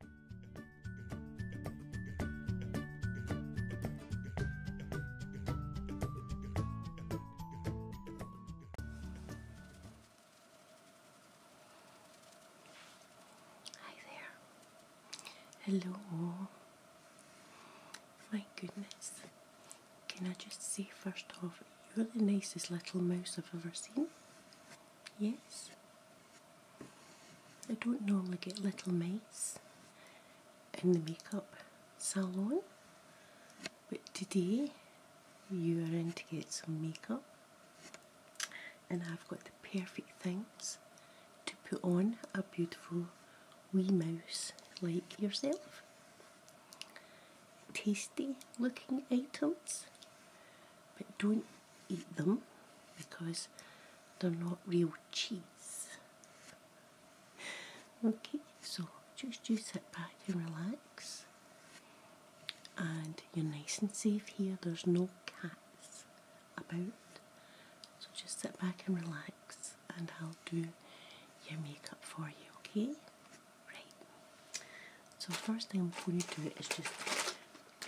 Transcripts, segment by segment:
Hi there. Hello. My goodness. Can I just say first off, you're the nicest little mouse I've ever seen. Yes. I don't normally get little mice in the makeup salon, but today you are in to get some makeup, and I've got the perfect things to put on a beautiful wee mouse like yourself. Tasty looking items, but don't eat them because they're not real cheese. Okay, so just you sit back and relax. And you're nice and safe here, there's no cats about. So just sit back and relax, and I'll do your makeup for you, okay? Right. So, first thing before you do it is just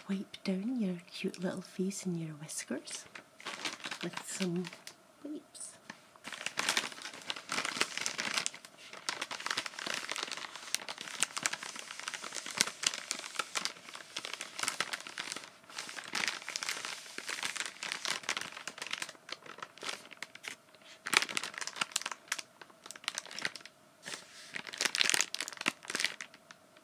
wipe down your cute little face and your whiskers with some wipes.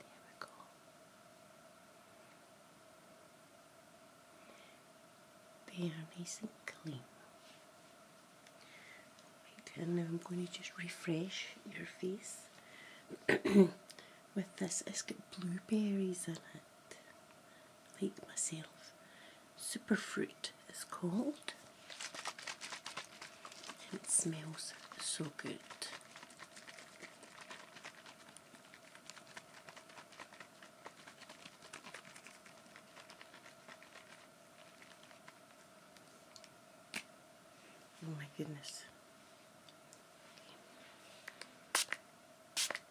There we go. They are nice and clean. and now I'm going to just refresh your face with this. It's got blueberries in it like myself. Superfruit is called, and it smells so good. Oh my goodness.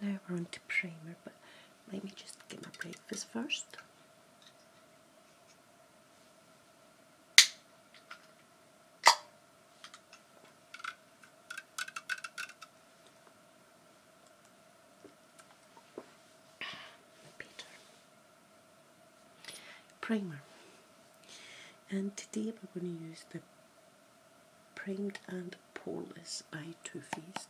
now we're on to primer, but let me just get my breakfast first. Peter primer and today we're going to use the Primed and Poreless by Too Faced.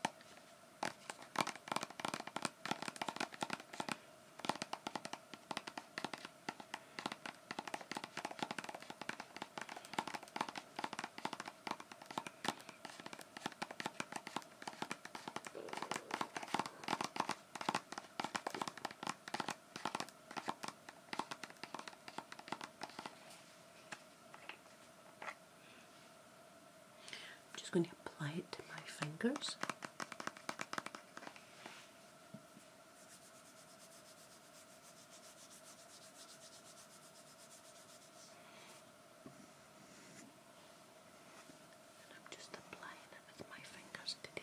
I'm just going to apply it to my fingers. And I'm just applying it with my fingers today.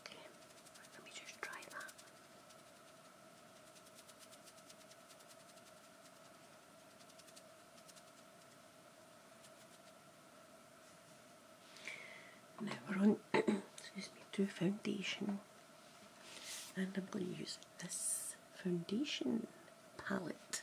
Okay, let me just try that. Now we're on excuse me, to foundation and I'm going to use this Foundation Palette.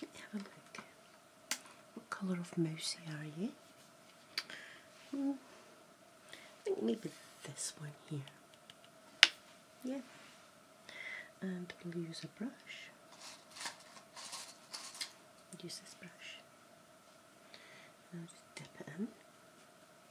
Have a look. What colour of mousy are you? Hmm. I think maybe this one here. Yeah. And we'll use a brush. Use this brush. And just dip it in.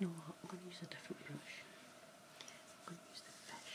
you know what? I'm going to use a different brush. I'm going to use the fish.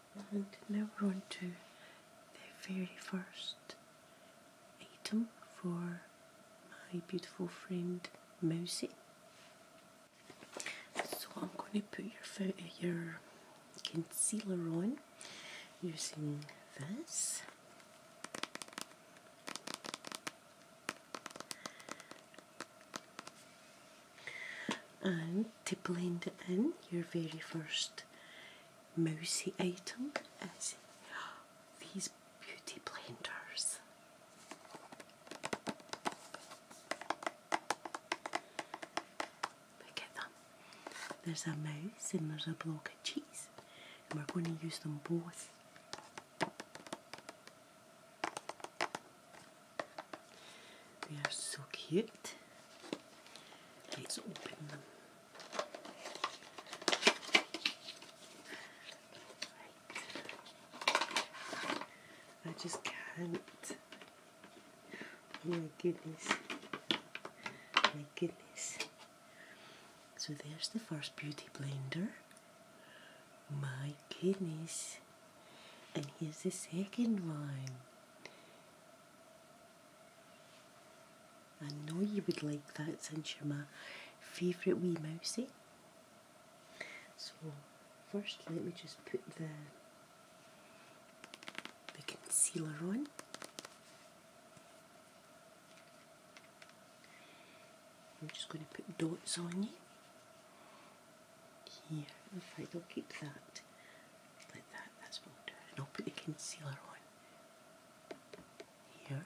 and now we on to the very first item for my beautiful friend Mousie. So I'm going to put your, your concealer on using this and to blend it in your very first mousie item is these beauty blenders. Look at them. There's a mouse and there's a block of cheese and we're going to use them both. They are so cute. Let's open them. I just can't. Oh my goodness. Oh my goodness. So there's the first beauty blender. My goodness. And here's the second one. I know you would like that since you're my favourite wee mousie. So first let me just put the, concealer on. I'm just going to put dots on you here if I will keep that like that, that's what I'll do. And I'll put the concealer on here.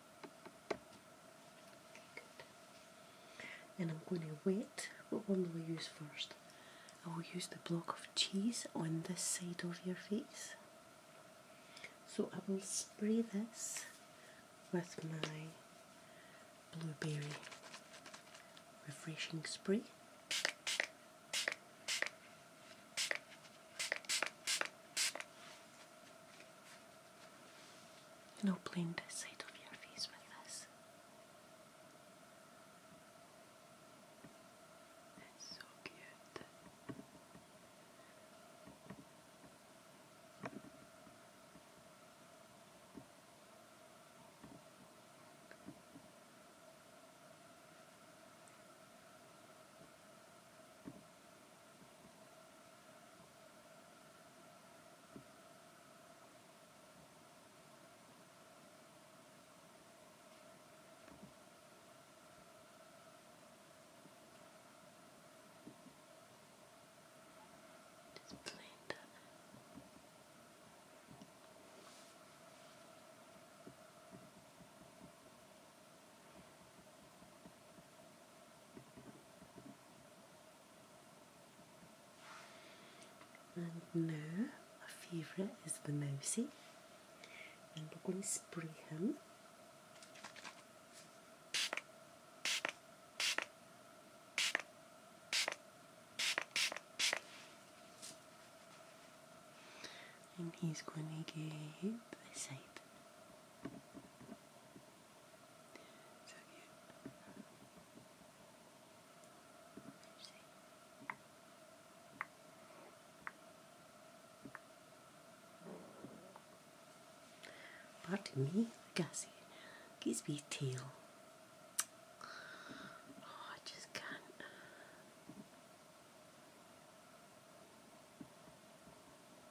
and I'm going to wait. What one will we use first? I will use the block of cheese on this side of your face. So I will spray this with my blueberry refreshing spray. No I'll blend side of your face with this. It's so cute. Just plain done it. And now my favourite is the mousy, and we're going to spray him. And he's going to get the side. So cute. Let's Pardon me, Gussie. Gives me tail. Oh, I just can't.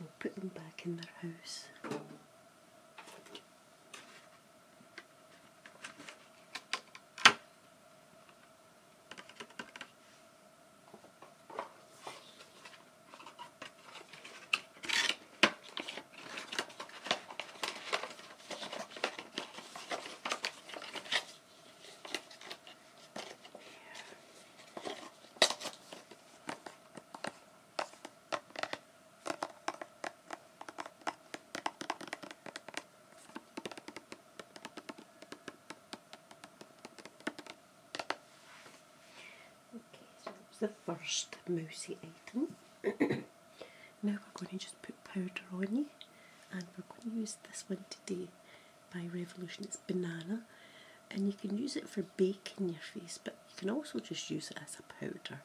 We'll put them back in their house. Okay, so that's the first mousy item. now we're going to just put powder on you and we're going to use this one today by Revolution. It's banana and you can use it for baking your face but you can also just use it as a powder.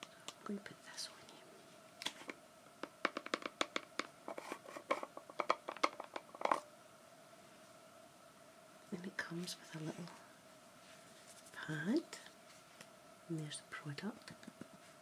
So I'm going to put this on you. And it comes with a little pad and there's the product.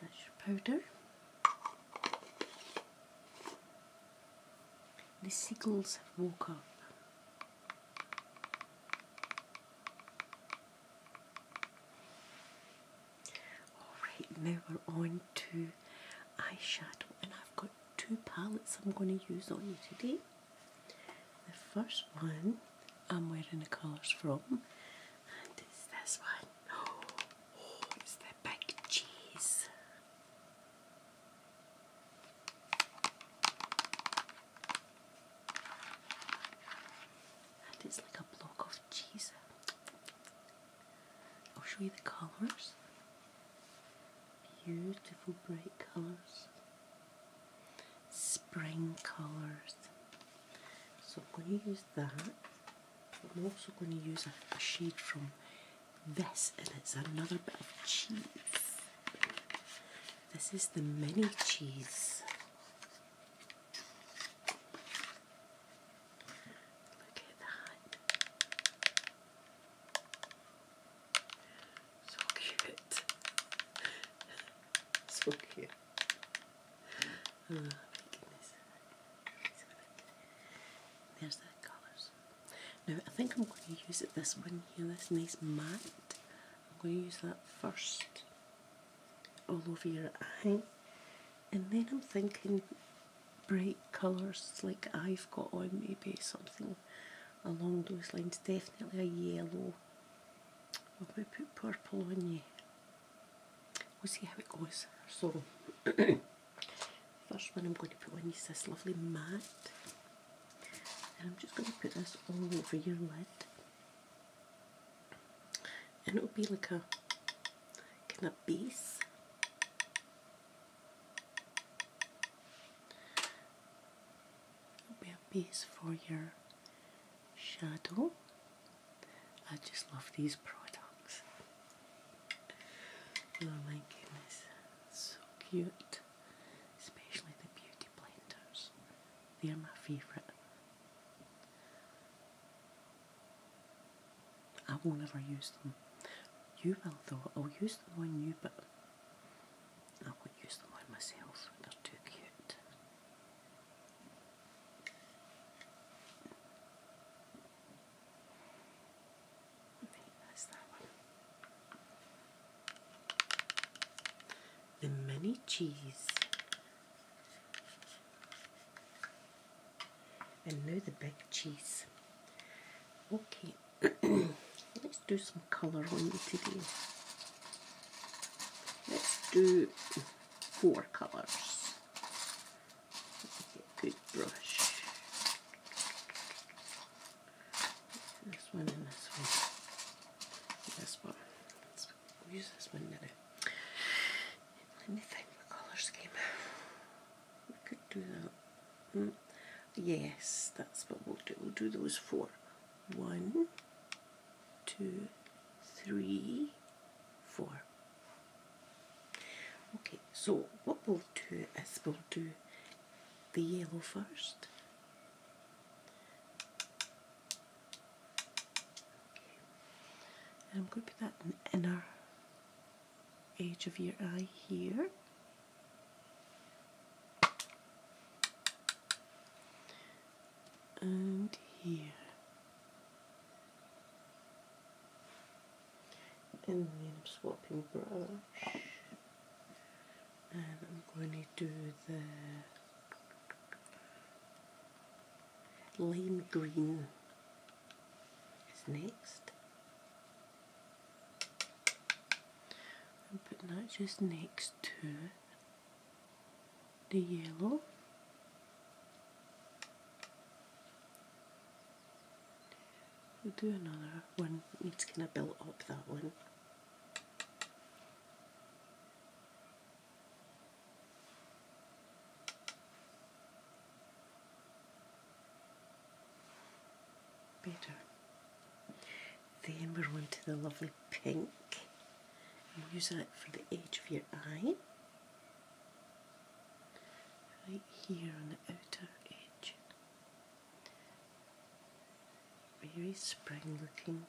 That's your powder. The seagulls woke up. Alright, now we're on to eyeshadow, and I've got two palettes I'm going to use on you today. The first one I'm wearing the colours from, and it's this one. Oh, it's the big cheese. And it's like a block of cheese. I'll show you the colours. Beautiful bright colours. Spring colours. So I'm going to use that. I'm also going to use a, a shade from this and it's another bit of cheese. This is the mini cheese. Look at that. So cute. so cute. Oh, my goodness. There's that colours. Now I think I'm going to use this one here, this nice matte. I'm going to use that first all over your eye. And then I'm thinking bright colours like I've got on, maybe something along those lines. Definitely a yellow. I'm going to put purple on you. We'll see how it goes. So, first one I'm going to put on is this lovely matte. And I'm just going to put this all over your lid and it would be like a kind of base. Be a base for your shadow. I just love these products. Oh my goodness, so cute. Especially the beauty blenders. They're my favourite. I will never use them. You will though. I'll use them on you, but I won't use them on myself. They're too cute. Right, that's that one. The mini cheese and now the big cheese. Okay, let's do some colour on you today. Let's do four colours. good brush. This one and this one. This one. use this one now. Let me think the colour scheme. We could do that. Mm. Yes, that's what we'll do. We'll do those four. One, two, three, four. Okay, so what we'll do is we'll do the yellow first. And I'm going to put that in the inner edge of your eye here. And here. And then I'm swapping brush. And I'm going to do the lime green it's next. I'm putting that just next to the yellow. We'll do another one, it's gonna build up that one. Better. Then we're on to the lovely pink. And we use that for the edge of your eye. Right here on the outer edge. Very spring looking.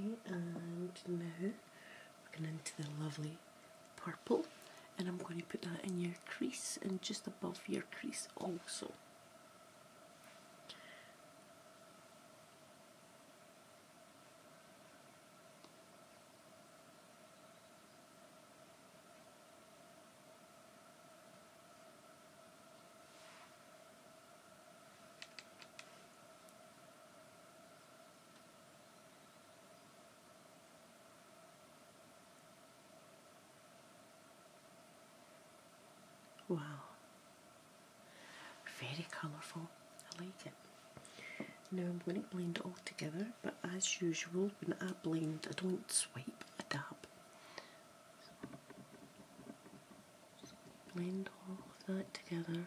Okay, and now we're going into the lovely purple, and I'm going to put that in your crease and just above your crease also. Wow. Very colourful. I like it. Now I'm going to blend it all together, but as usual, when I blend, I don't swipe, I dab. blend all of that together.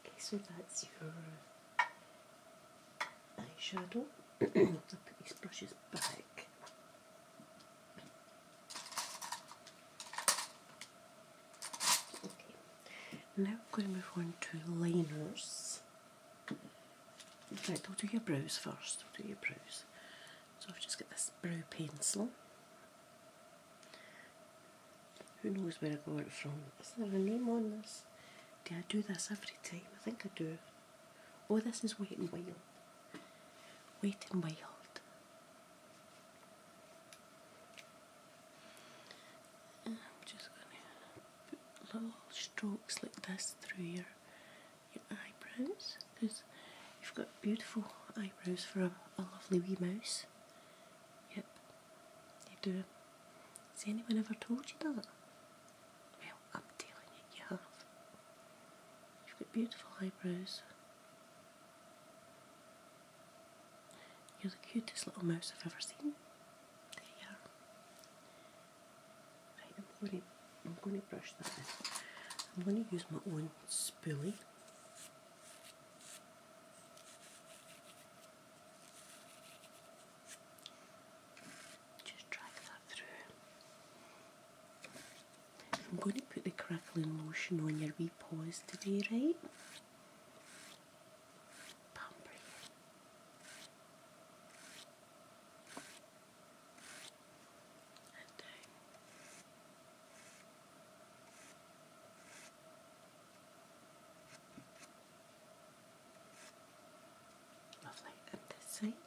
Okay, so that's your uh, eyeshadow. I'll put these brushes back. Okay, now I'm going to move on to liners. In fact, I'll do your brows first. I'll do your brows. So I've just got this brow pencil. Who knows where I got it from? Is there a name on this? Do I do this every time? I think I do. Oh, this is Wet and Wild. Wet and Wild. I'm just going to put little strokes like this through your, your eyebrows because you've got beautiful eyebrows for a, a lovely wee mouse. Yep. You do. Has anyone ever told you that? Well, I'm telling you, you have. You've got beautiful eyebrows. You're the cutest little mouse I've ever seen. There you are. Right, I'm going to, I'm going to brush that I'm going to use my own spoolie. Just drag that through. I'm going to put the crackling lotion on your wee paws today, right? Pamper Lovely. at this side. Lovely.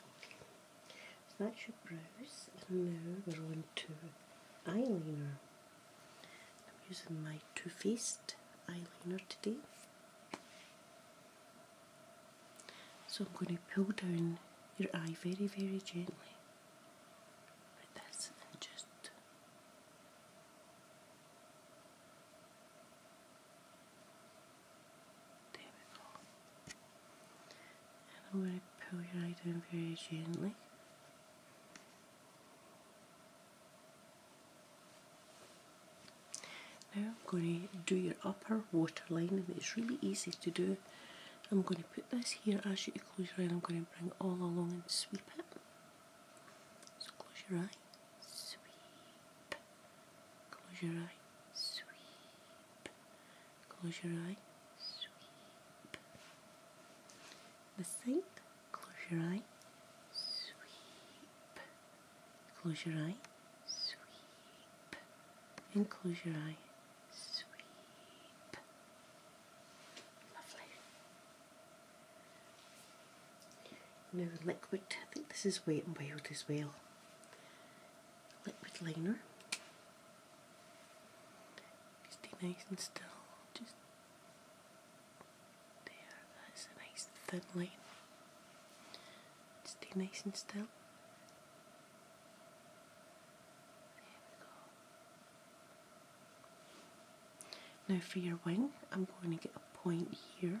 Okay. So that's your brows, and now we're on to eyeliner. I'm using my Too Faced eyeliner today. So I'm going to pull down your eye very, very gently like this and just I'm going to pull your eye down very gently. Now I'm going to do your upper waterline and it's really easy to do. I'm going to put this here as you close your eye I'm going to bring all along and sweep it. So close your eye eye, sweep. Close your eye, Close your eye, sweep. The sink, close your eye, Close your eye, And close your eye, Lovely. Now liquid, I think this is wet and wild as well. Liquid liner. Stay nice and still. Just there, that's a nice thin line. Stay nice and still. Now for your wing, I'm going to get a point here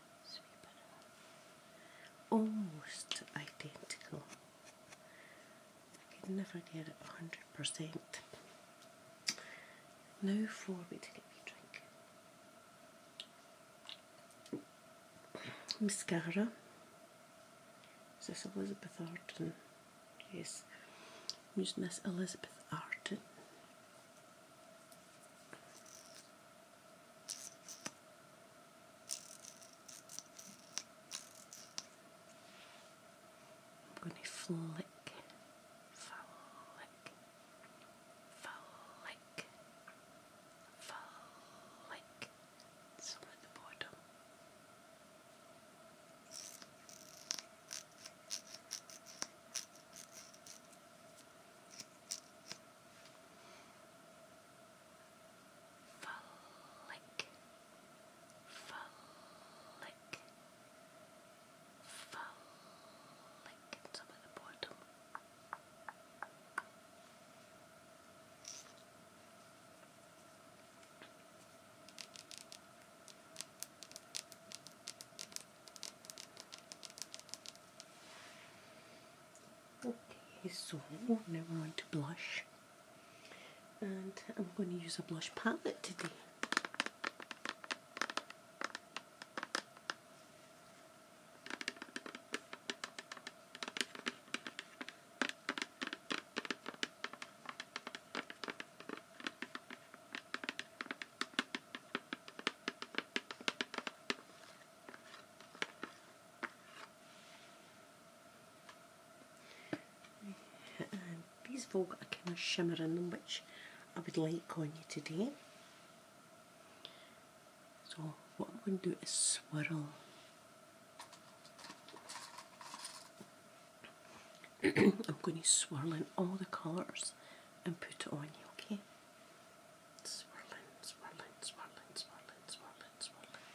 Almost identical. I could never get it 100%. Now for me to get me a drink. Mascara. Is this Elizabeth Arden? Yes. i using this Elizabeth Arden. I'm going to flick, flick, flick, flick, some at the bottom. Flick, flick, flick. It's up at the bottom. Okay, so now we're on to blush. And I'm going to use a blush palette today these have all got a kind of shimmer in them which I would like on you today. So what I'm going to do is swirl. I'm going to swirl in all the colours and put it on you, okay? swirling, swirling, swirling, swirling, swirling, swirling.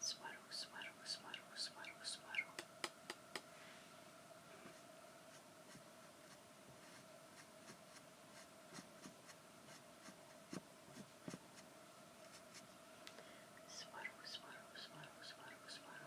Swirl, swirl, swirl, swirl, swirl. Swirl, swirl, swirl, swirl, swirl.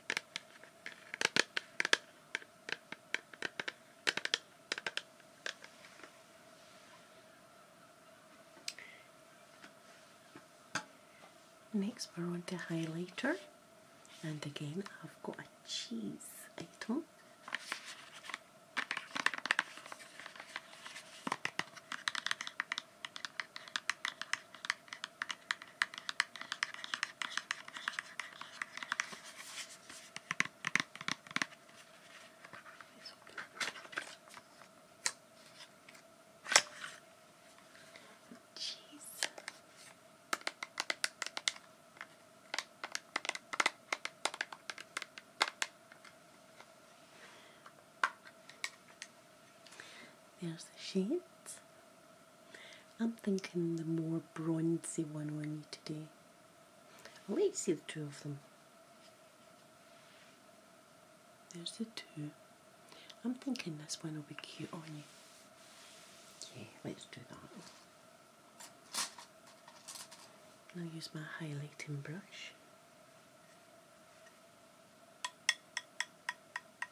Next, we're on to highlighter, and again, I've got a cheese item let There's the sheet. I'm thinking the more bronzy one on you today. I'll let you see the two of them. There's the two. I'm thinking this one will be cute on you. Yeah, let's do that. I'll use my highlighting brush.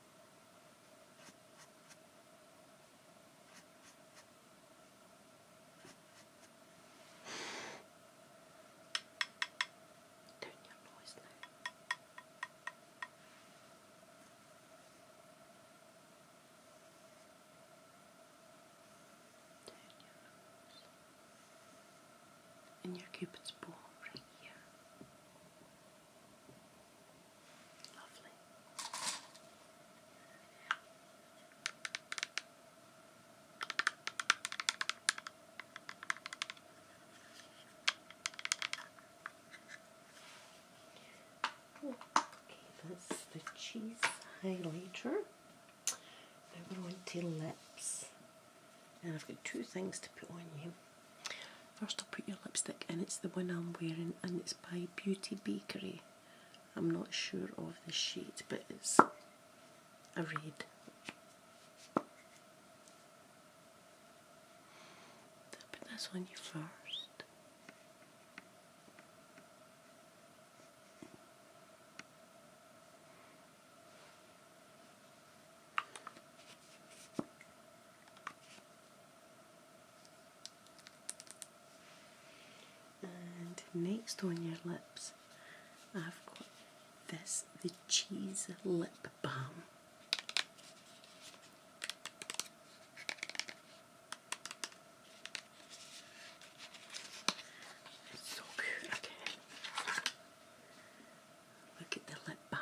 Turn your noise down. Turn your nose. And right here. Lovely. Gave the cheese highlighter. Now we're on to lips and I've got two things to put on you. First, I'll put your lipstick, and it's the one I'm wearing, and it's by Beauty Bakery. I'm not sure of the shade, but it's a red. I'll put this on you first. And next on your lips, I've got this the cheese lip balm. so good, Look at the lip balm.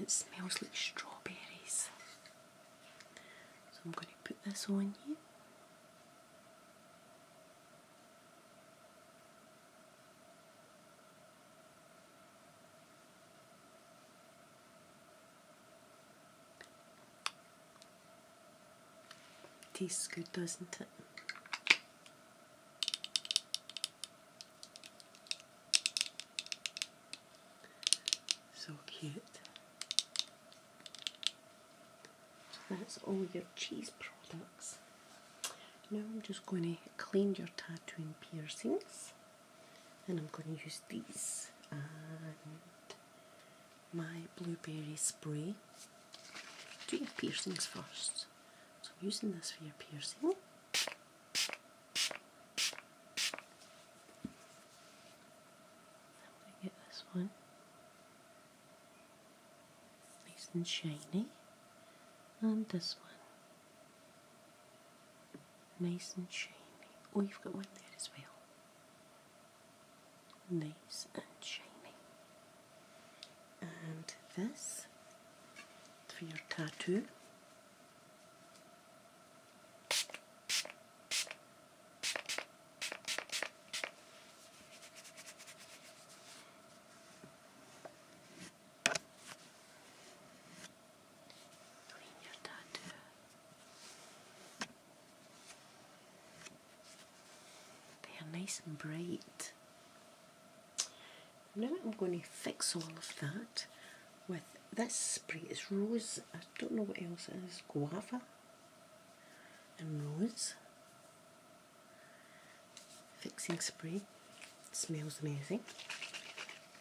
It smells like strawberries. So I'm going to put this on you. Tastes good, doesn't it? So cute. that's all your cheese products. Now I'm just going to clean your tattoo and piercings, and I'm going to use these and my blueberry spray. Do your piercings first. So I'm using this for your piercing. get this one nice and shiny, and this one. Nice and shiny. Oh, you've got one there as well. Nice and shiny. And this for your tattoo. They are nice and bright. Now I'm going to fix all of that with this spray. It's rose, I don't know what else it is, guava and rose. Fixing spray. smells amazing.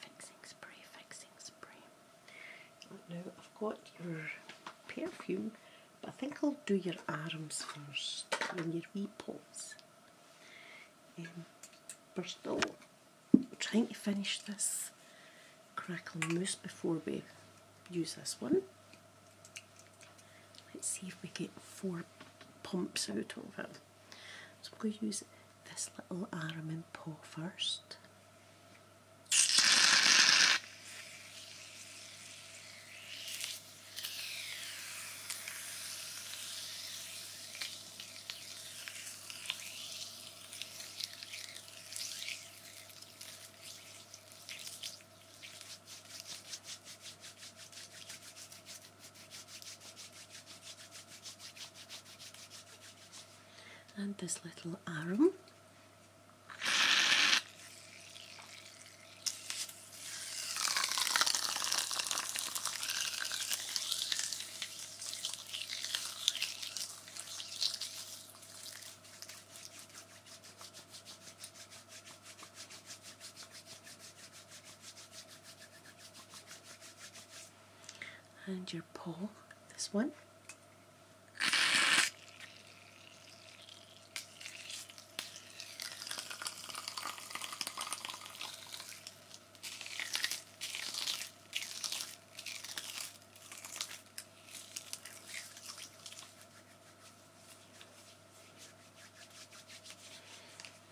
Fixing spray, fixing spray. Now I've got your perfume, but I think I'll do your arms first and your wee paws. Um, we're still trying to finish this crackle mousse before we use this one. Let's see if we get four pumps out of it. So I'm going to use this little arum and paw first and this little arm and your paw, this one.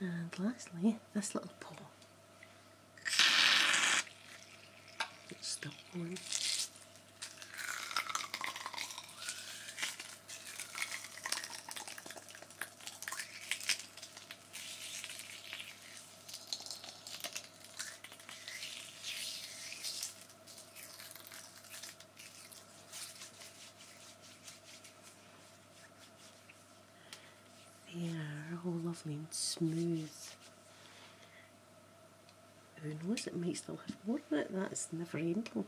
And lastly, this little paw. It's that one. They are all lovely and smooth. Who knows, it makes still have more in it, that's never ending.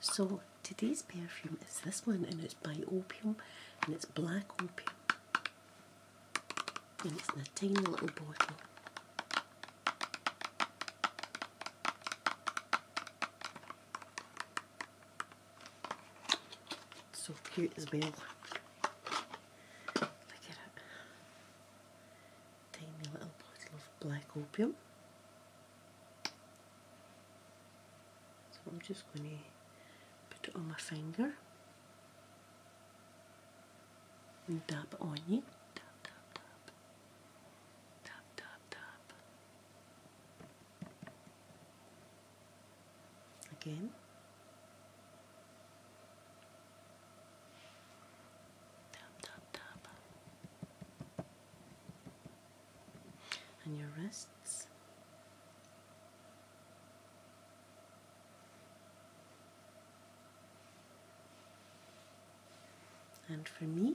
So today's perfume is this one and it's by Opium and it's black opium. And it's in a tiny little bottle. So cute as well. Look at it. Tiny little bottle of black opium. So I'm just going to put it on my finger dab on you. dab, dab. Dab, dab, dab again tap tap tap and your wrists and for me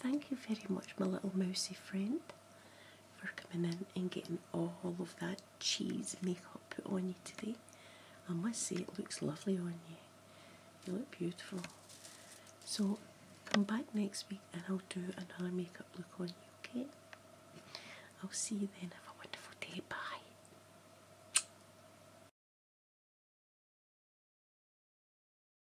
Thank you very much, my little mousy friend, for coming in and getting all of that cheese makeup put on you today. I must say, it looks lovely on you. You look beautiful. So, come back next week and I'll do another makeup look on you, okay? I'll see you then. Have a wonderful day. Bye.